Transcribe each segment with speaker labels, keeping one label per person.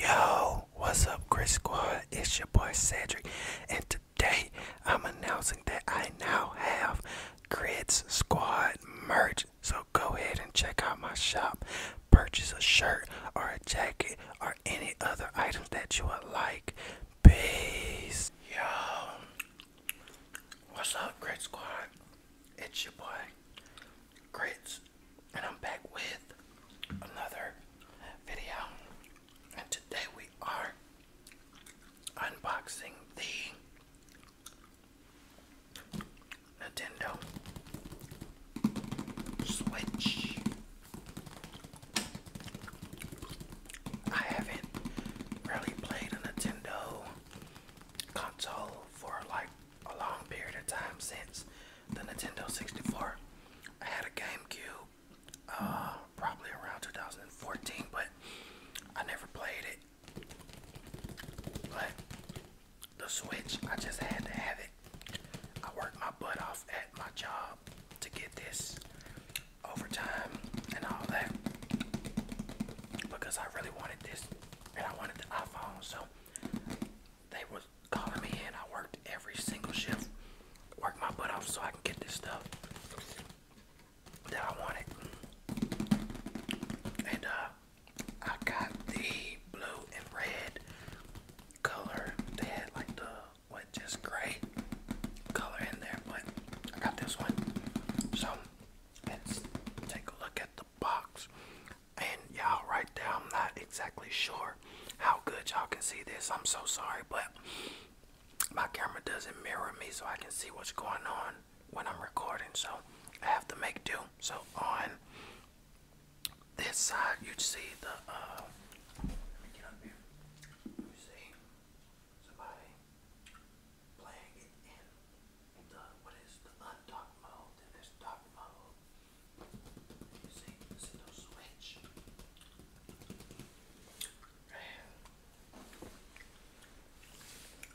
Speaker 1: Yo, what's up, Greek Squad? It's your boy Cedric, and today I'm announcing that I now have Grids Squad merch. So go ahead and check out my shop. Purchase a shirt or a jacket or any other items that you would like. Peace. Yo. What's up, great Squad? It's your boy, Grits, and I'm back with another video. And today we are unboxing the Nintendo Switch. I haven't really played a Nintendo console for like a long period of time since the Nintendo 64. I had a GameCube uh, probably around 2014, but I never played it. But the switch, I just had to have it. I worked my butt off at my job to get this overtime and all that because I really wanted this and I wanted the iPhone. So they were calling me in. I worked every single shift, worked my butt off so I can get this stuff that I wanted. And uh, I got the blue and red color. They had like the what just gray color in there, but I got this one. So let's take a look at the box. And y'all right there, I'm not exactly sure how good y'all can see this. I'm so sorry, but my camera doesn't mirror me so I can see what's going on when I'm recording, so I have to make do. So on this side, you see the. Uh, get up here. You see somebody playing it in the what is the undock mode? Then there's dock mode. You see, this is the switch. And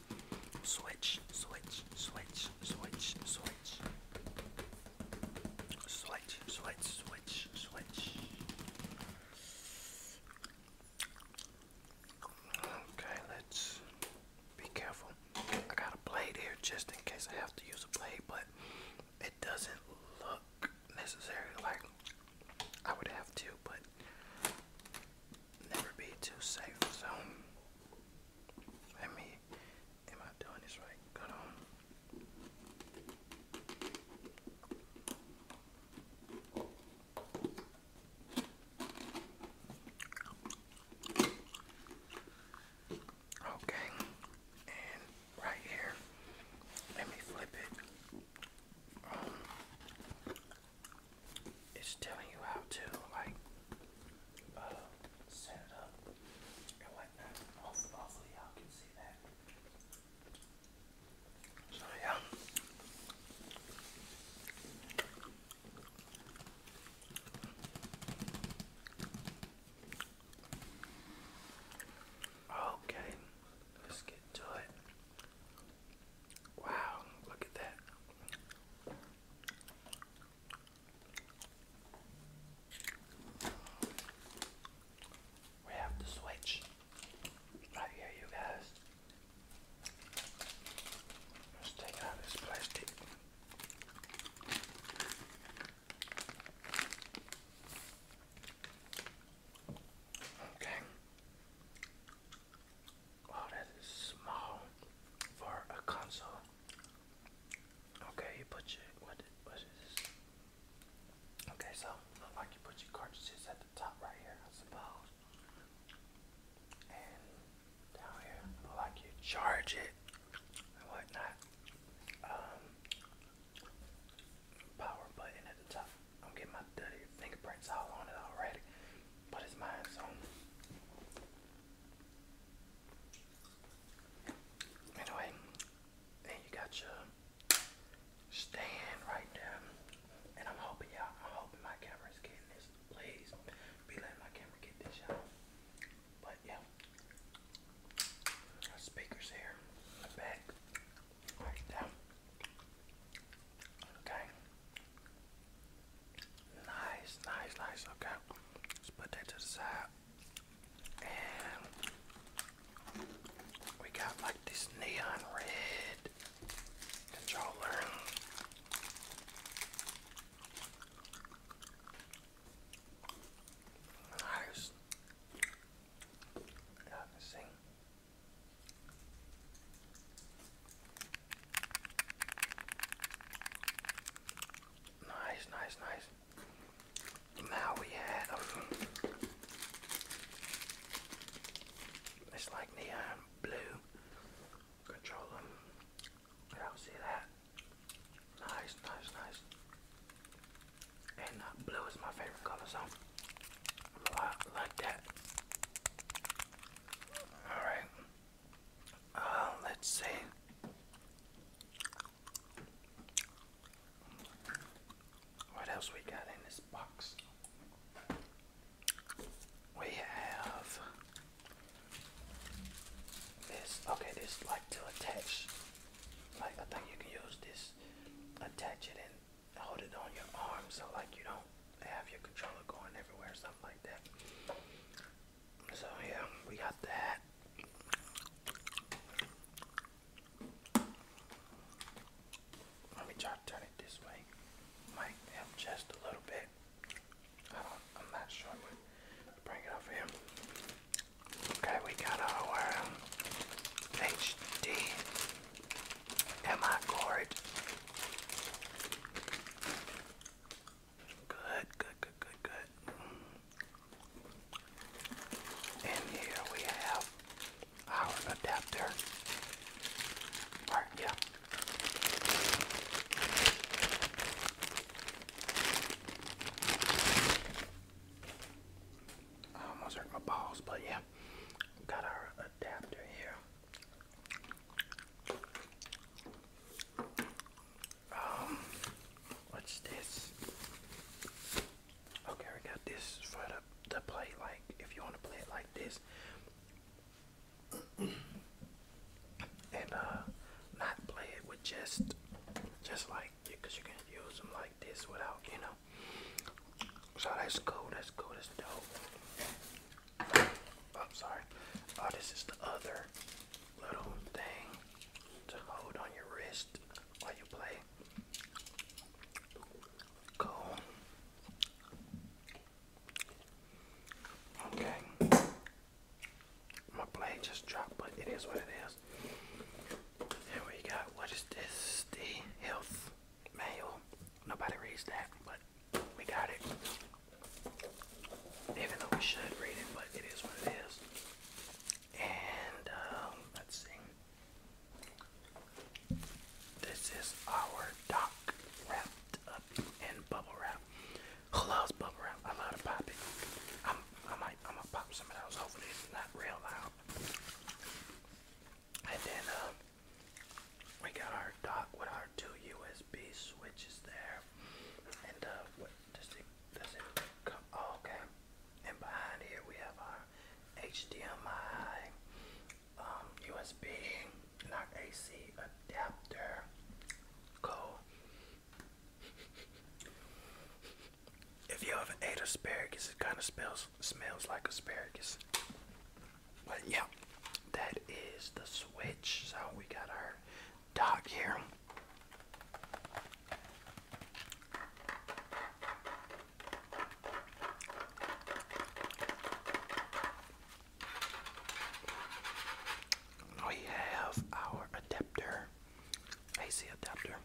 Speaker 1: switch, switch, switch, switch, switch, switch, switch, switch, switch, switch. Okay, let's be careful. I got a blade here just in case I have to use a blade, but it doesn't look necessary like I would have to, but never be too safe. So let me. Am I doing this right? Hold on. Okay, and right here, let me flip it. Um, it's telling you how to like uh, set it up and whatnot. hopefully y'all can see that. So yeah. Okay, let's get to it. Wow, look at that. We have to switch right here, you guys. Let's take out this plastic. Okay. Oh, that is small for a console. Okay, you put your what was this? Okay, so like you put your cartridges at the top right here, I suppose. And down here, like you charge it and whatnot. Um, power button at the top. I'm getting my dirty fingerprints all on it already. But it's mine, so anyway, you got your stand right there. And I'm hoping y'all I'm hoping my camera's getting this. Please be letting my camera get this you But yeah. speakers here the back. Right down. Okay. Nice, nice, nice. Okay, let's put that to the side. And we got like this neon red controller. Nice. I can see. Nice, nice, nice. Now we have it's like neon blue controller. Y'all see that? Nice, nice, nice. And uh, blue is my favorite color, so I like that. All right. Uh, let's see. What else we got in this box? We have this. Okay, this like to attach. Like I think you can use this, attach it and hold it on your arm, so like you don't have your controller going everywhere, something like. So yeah, we got that. Let me try to turn it this way. Might just a little bit. I am not sure, bring it over here. Okay, we got our HD uh, cord. Good, good, good, good, good. And here we have our adapter. Alright, yeah. I almost hurt my balls, but yeah, got our adapter here. Um, what's this? Okay, we got this for the the play. Like, if you want to play it like this, and uh, not play it with just, just like, because you can use them like this without, you know. So that's cool. That's cool. That's dope. I'm oh, sorry. Oh, this is the other little thing to hold on your wrist while you play. Cool. Okay. My blade just dropped, but it is what it is. Here we got, what is this? The health manual. Nobody reads that, but we got it. Even though we should read it, but it is what it is. And um, let's see. This is our dock wrapped up in bubble wrap. Who loves bubble wrap? I love to pop it. i might, I'm gonna pop some of those. Hopefully, not real loud. And then, uh, we got our dock with our two USB switches there. And uh, does it, does it come? Oh, okay. And behind here we have our HDMI, USB, um, and our AC adapter. Cool. If you ever ate asparagus, it kind of smells smells like asparagus. But yeah, that is the Switch. So we got our dock here. We have our adapter, AC adapter.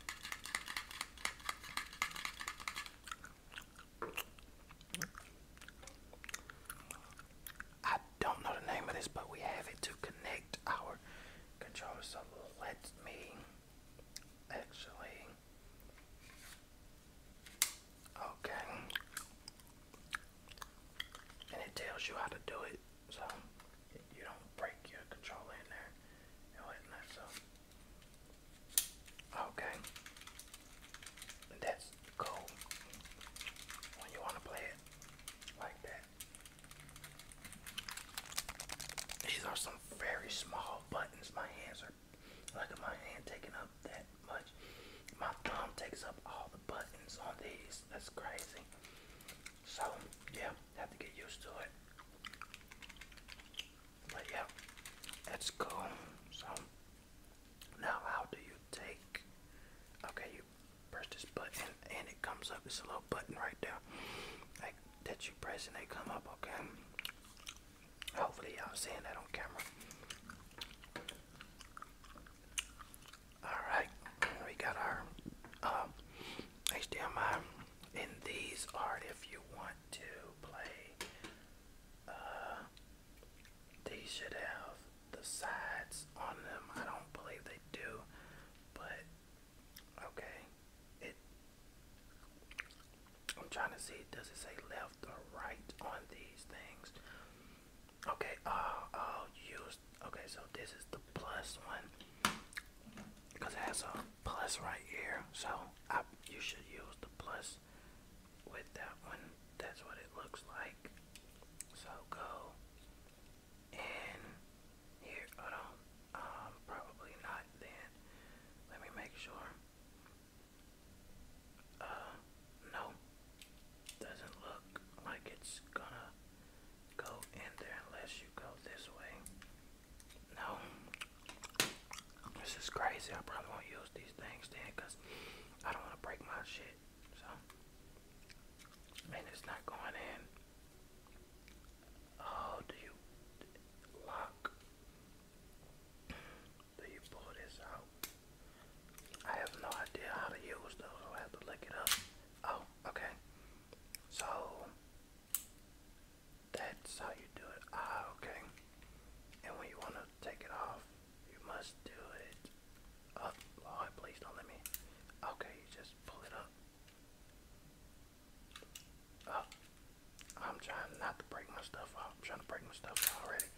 Speaker 1: I don't know the name of this, but we have it to connect our controller. So let me actually. Okay. And it tells you how to do it, so you don't break your controller in there and whatnot. So. Okay. That's go when you want to play it like that. These are some very small buttons. My hands are like my hand taking up that much. My thumb takes up all the buttons on these. That's crazy. So yeah, have to get used to it. But yeah, that's cool. So now how do you take okay press this button and it comes up. It's a little button right there like, that you press and they come up, okay? Hopefully y'all seeing that on camera. Alright, we got our um, HDMI and these are if you want to play uh, they should have the sides on them. I don't believe they do, but okay. I'm trying to see. Does it say left or right on these things? Okay. Uh, i use. Okay, so this is the plus one because it has a plus right here. So you should use the plus with that one. That's what it looks like. So go and here, hold on. Um, probably not then. Let me make sure. Uh, no. Doesn't look like it's gonna go in there unless you go this way. No. This is crazy. I probably won't use these things then because I don't want to break my shit. So, and it's not going in. Oh, do you lock? Do you pull this out? I have no idea how to use those, so I have to look it up. Oh, okay. So, that's how you do it. Ah, okay. And when you want to take it off, you must do it Oh, please don't let me. Okay, you just pull it up. Up. Oh, I'm trying not to break my stuff I'm trying to break my stuff already.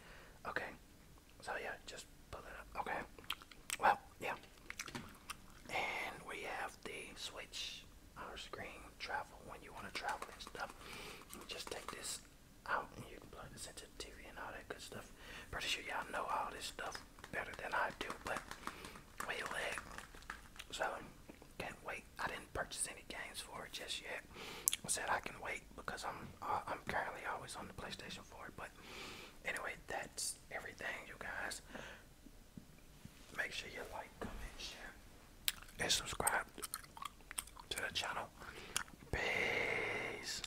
Speaker 1: Okay. So yeah, just pull it up. Okay. Well, yeah. And we have the switch our screen travel when you want to travel and stuff. just take this out and you can plug this into TV and all that good stuff. Pretty sure y'all know all this stuff better than I do, but way leg. So can't wait. I didn't purchase any games for it just yet. I said I can wait because I'm I'm currently always on the PlayStation 4. But anyway, that's everything, you guys. Make sure you like, comment, share, and subscribe to the channel. Peace.